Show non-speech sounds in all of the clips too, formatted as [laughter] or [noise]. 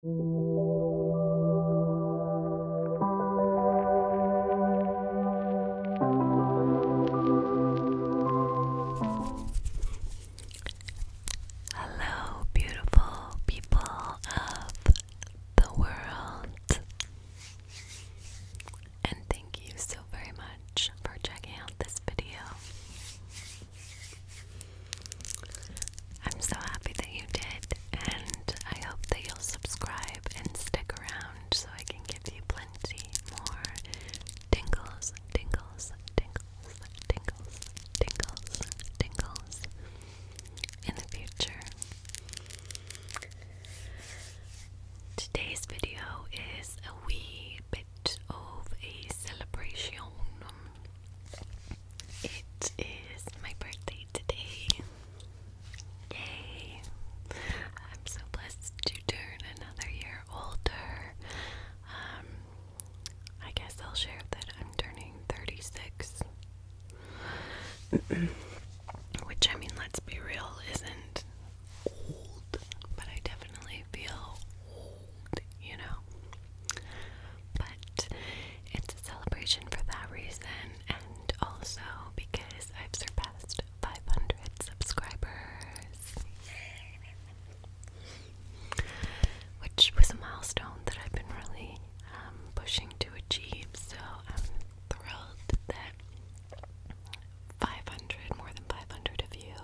Hello, beautiful people of the world, and thank you so very much for checking out this video. I'm so happy that you did, and I hope that you'll subscribe and stick around so I can give you plenty more tingles, tingles, tingles, tingles, tingles, tingles in the future. Today's video is a wee bit of a celebration. It is my birthday today. Yay! I'm so blessed to turn another year older. Um, I guess I'll share that I'm turning 36. [clears throat] Which, I mean, let's be real, isn't old, but I definitely feel old, you know? but it's a celebration for that reason and also because I've surpassed 500 subscribers. Which was a milestone that I've been really um, pushing to achieve, so I'm thrilled that 500, more than 500 of you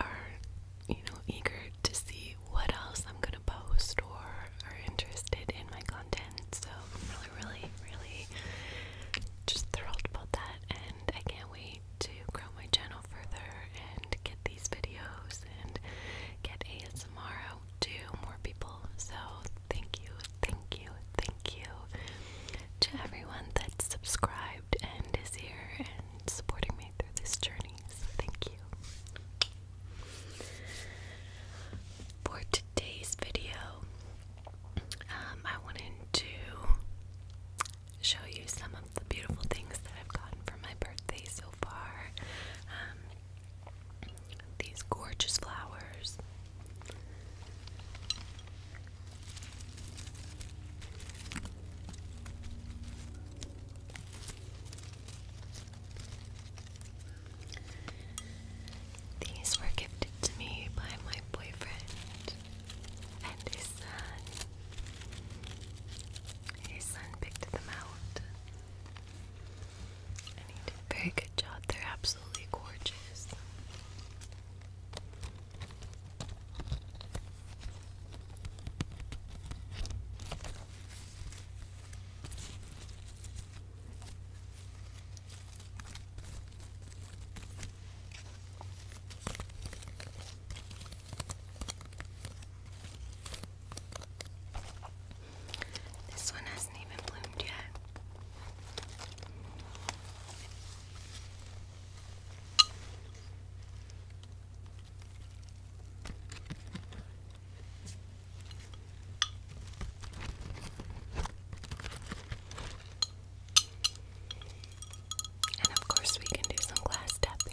are you know, eager to see what else I'm gonna post or are interested in my content. So I'm really, really, really just thrilled about that, and I can't wait to grow my channel further and get these videos and get ASMR out to more people. So thank you, thank you, thank you to everyone that's subscribed and is here and supporting me through this journey, thank you. For today's video, um, I wanted to show you some of the beautiful things that I've gotten for my birthday so far. Um, these gorgeous flowers. These were gifted to me by my boyfriend and his son. His son picked them out. And he did a very good job. They're absolutely gorgeous. This one hasn't even bloomed yet. And of course, we can do some glass tapping.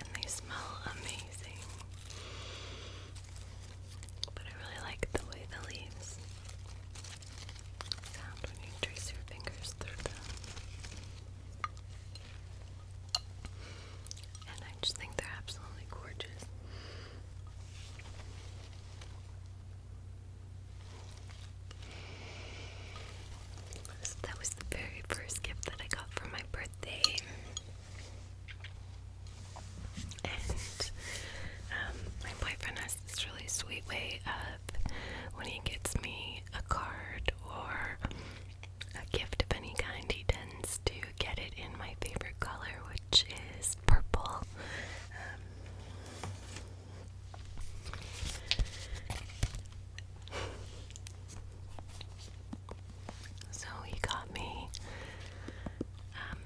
And they smell amazing. But I really like the way the leaves sound when you trace your fingers through them. And I just think they're absolutely gorgeous. So that was the very first gift that I got for my birthday. And um, my boyfriend has this really sweet way of when he gets me a card or a gift of any kind, he tends to get it in my favorite color, which is purple. Um, so he got me um,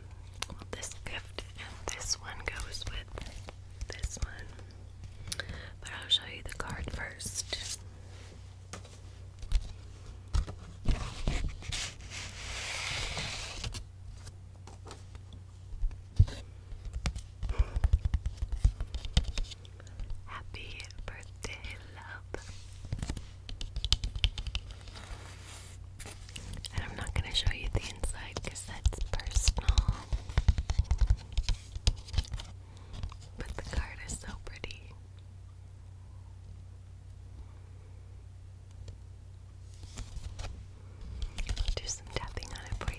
this gift, and this one goes with this one. But I'll show you the card first. Happy birthday, love. And I'm not going to show you the inside that's personal. But the card is so pretty. I'll do some tapping on it for you.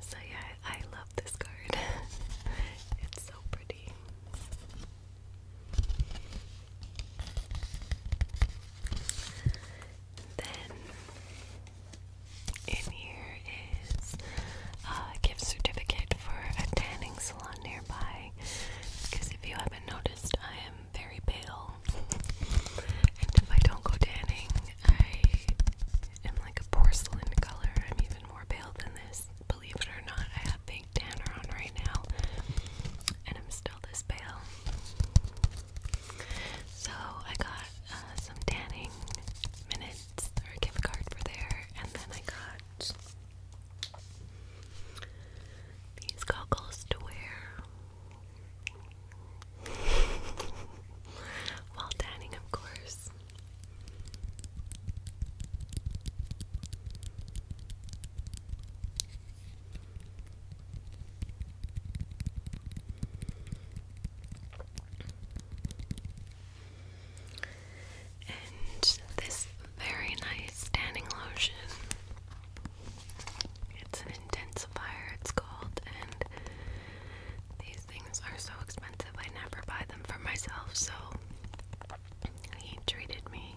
So yeah, I love this card. [laughs] it's so pretty. Then in here is a gift certificate for a tanning salon nearby. Because if you haven't noticed, I am very pale, and if I don't go tanning, I am like a porcelain color. I'm even more pale than this. Believe it or not, I have pink tanner on right now, and I'm still this pale. So I got uh, some tanning minutes or a gift card for there, and then I got these goggles to wear while tanning, of course. And this very nice tanning lotion it's an intensifier, it's called, and these things are so expensive. I never buy them for myself, so he treated me.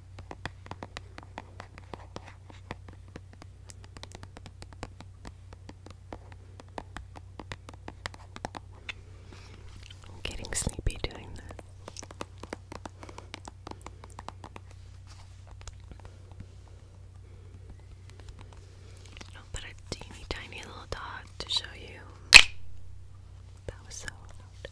I'm getting sleepy doing that. I'll oh, put a teeny tiny little dot to show you. That was so loud.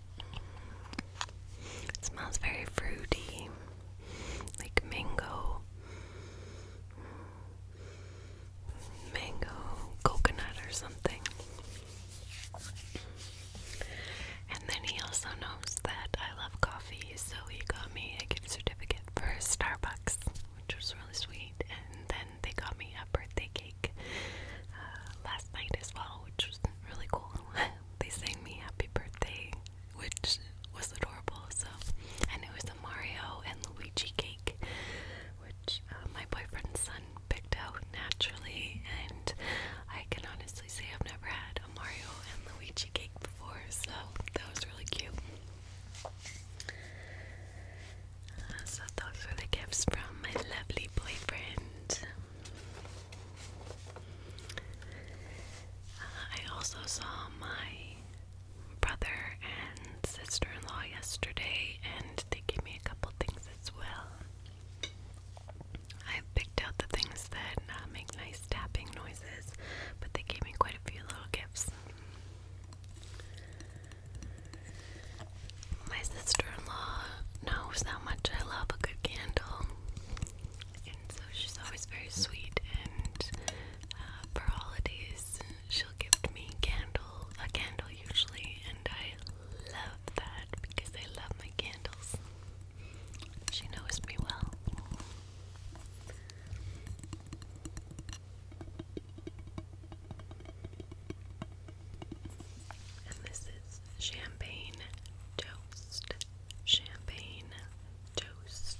It smells very fruity, like mango, mango, coconut, or something. And then he also knows that I love coffee, so he got me a gift certificate for Starbucks, which was really sweet. And then they got me a birthday cake uh, last night as well, which was really cool. [laughs] they sang me happy birthday, which was adorable. So, and it was the Mario and Luigi cake, which uh, my boyfriend's son picked out naturally. And I can honestly say I've never had a Mario and Luigi cake before, so that was really cute. Uh, so, those were the gifts from my lovely boyfriend. I also saw my brother and sister in law yesterday, and they gave me a couple things as well. I picked out the things that uh, make nice tapping noises, but they gave me quite a few little gifts. My sister-in-law knows how much I love a good candle, and so she's always very sweet. And uh, for holidays, she'll give me candle, a candle usually, and I love that because I love my candles. She knows me well. And this is champagne toast. Champagne toast.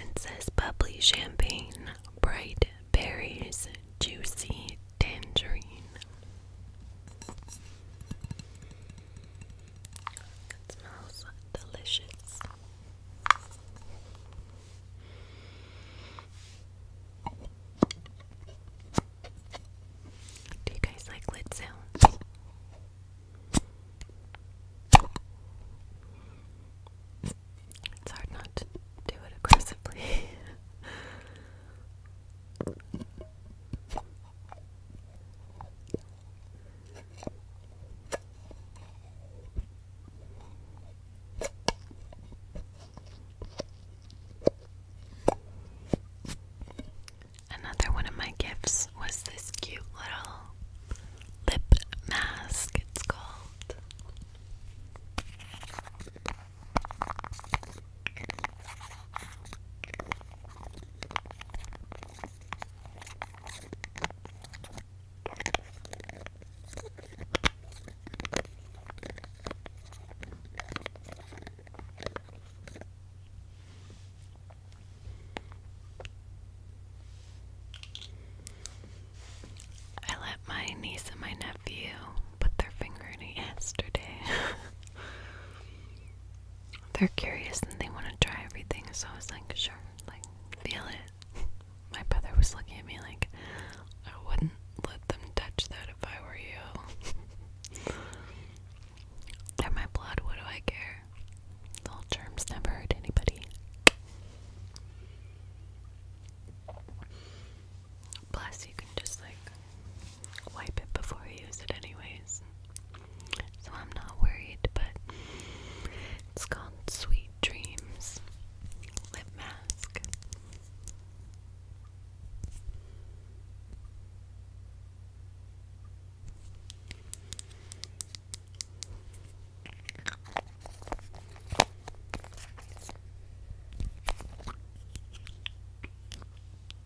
and says bubbly champagne bright berries juicy tangerine. It smells delicious. Do you guys like lid sounds? It's hard not to do it aggressively. [laughs] Another one of my gifts was this cute little lip mask, it's called. I let my niece and my nephew put their finger in it yesterday. [laughs] They're curious and they want to try everything, so I was like, sure, like, feel it. My brother was looking at me like, I wouldn't let them touch that if I were you. They're [laughs] my blood, what do I care? Little germs never hurt anybody. Plus, you can just like wipe it before you use it, anyways. So I'm not worried, but it's called Sweet Dreams Lip Mask.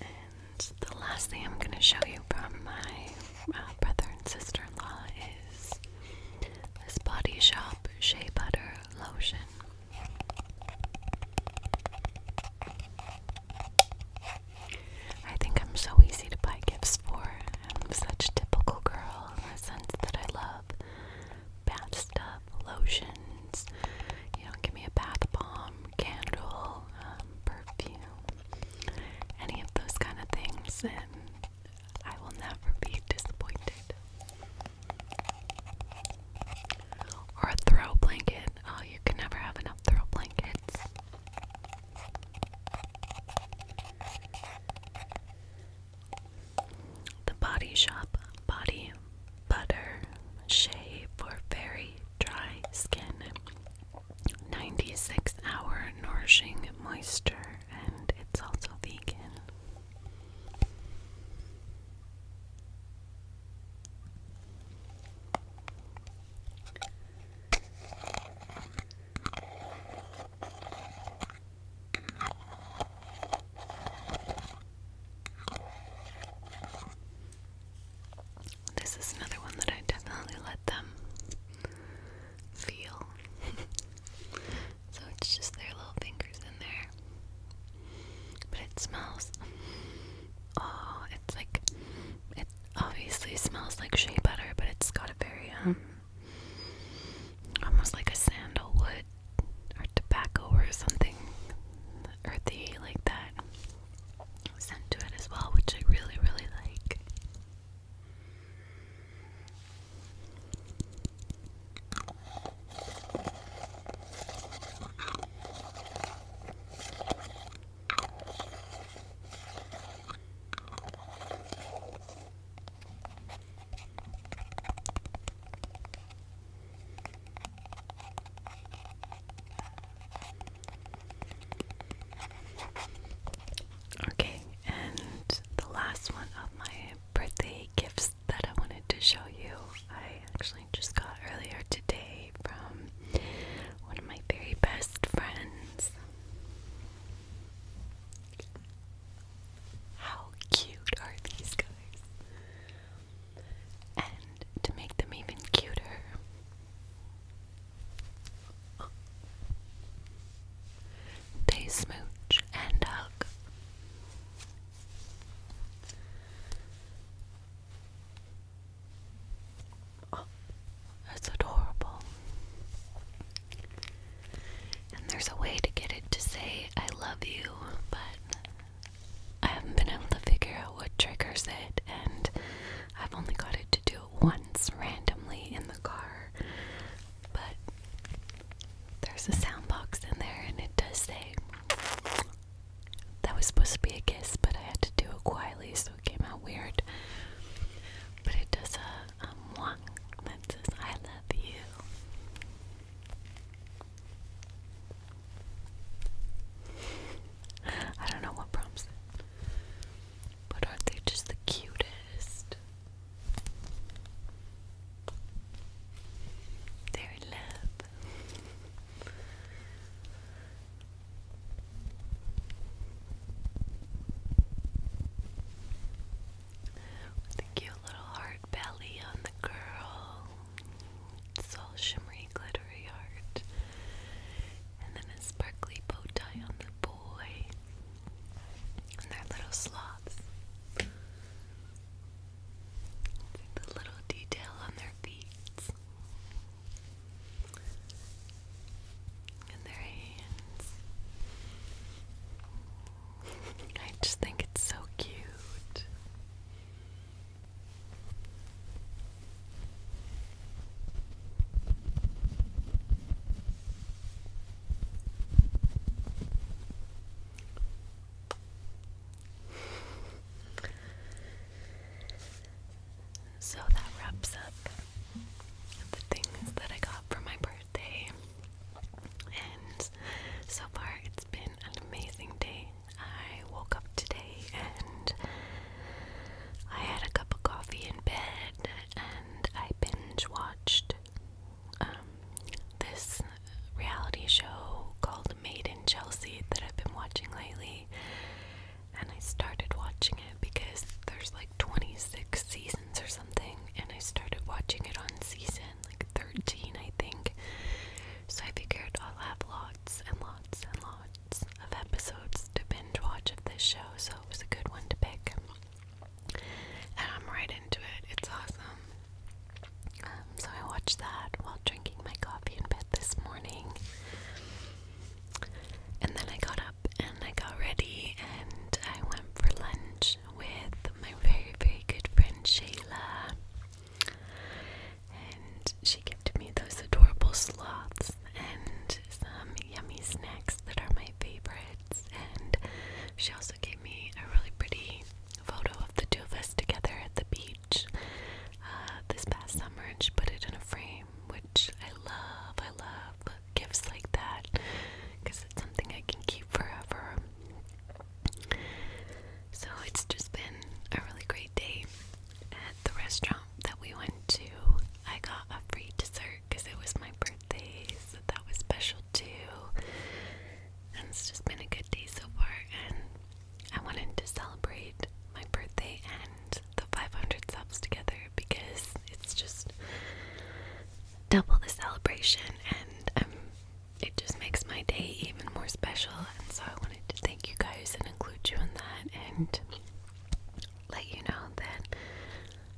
And the last thing I'm going to show you from my uh, brother and sister in law is this Body Shop Shea Butter Lotion. I think I'm so easy to buy gifts for. I'm such a typical girl in the sense that I love bath stuff lotions, you know, give me a bath bomb, candle, um, perfume, any of those kind of things, and I will never be disappointed. Or a throw blanket. Oh, you can never have enough throw blankets. The Body Shop body butter shea for very dry skin. 96 hour nourishing moisture, and it's also vegan. This is another one that I definitely let them feel. [laughs] so it's just their little fingers in there. But it smells. Oh, it's like. It obviously smells like shea butter, but it's got a very, um. almost like a sandalwood or tobacco or something earthy like that sent to it as well, which I really, really like. Okay, and the last one of my birthday gifts that I wanted to show you, I actually just got earlier today from one of my very best friends. How cute are these guys? And to make them even cuter, they smooch and hug. that's adorable. And there's a way to get it to say I love you, but I haven't been able to figure out what triggers it, and I've only got it to do it once randomly in the car. But there's a sound box in there, and it does say that was supposed to be a kiss, but I had to do it quietly, so it came out weird. But it does a, a um, that says, I love you. I don't know what prompts it. But aren't they just the cutest? they love with a cute little heart belly on the girl. It's all shimmery, glittery heart. And then a sparkly bow tie on the boy. And their little slats. The little detail on their feet. And their hands. I just think it's so cute. So that wraps up the things that I got for my birthday. And so far, it's been an amazing day. I woke up today and I had a cup of coffee in bed and I binge watched um, this reality show called Made in Chelsea that I've been watching lately. And I started watching it because there's like 26 seasons or something, and I started watching it on season like 13, I think. So I figured I'll have lots and lots and lots of episodes to binge watch of this show, so it was a good one to pick. And I'm right into it, it's awesome. Um, so I watched that while drinking my coffee in bed this morning. And then I got up and I got ready and I went for lunch with my very, very good friend Shayla. And she gifted me those adorable sloths and some yummy snacks that are my favorites. And she also gave me a really pretty photo of the two of us together at the beach uh, this past summer, and she put it in a frame, which I love. I love gifts like that because it's something I can keep forever. So it's just been a really great day at the restaurant that we went to. I got a free dessert because it was my birthday, so that was special too. And it's just been a good day so far, and I wanted to celebrate my birthday and the 500 subs together because it's just double the celebration, and I'm it just makes my day even more special. And so I wanted to thank you guys and include you in that and let you know that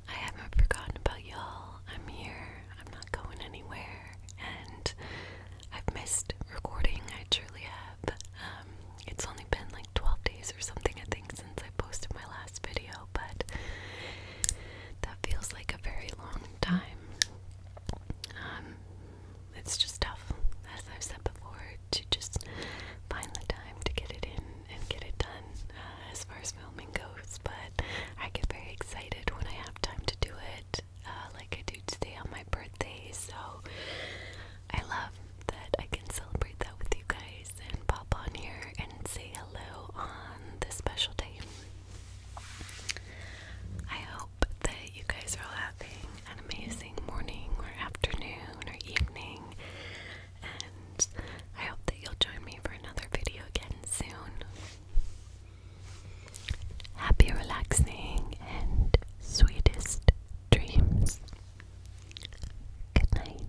I haven't forgotten about y'all. I'm here, I'm not going anywhere, and I've missed recording. I truly have. Um, it's only been like 12 days or something, I think, since I posted my last video, but that feels like a very long time time. Um, it's just tough, as I've said before, to just find the time to get it in and get it done uh, as far as filming goes. But I get very excited when I have time to do it, uh, like I do today on my birthday. So I love that I can celebrate that with you guys and pop on here and say hello on this special day. I hope that you guys are all having an amazing morning or afternoon or evening, and I hope that you'll join me for another video again soon. Happy, relaxing, and sweetest dreams. Good night.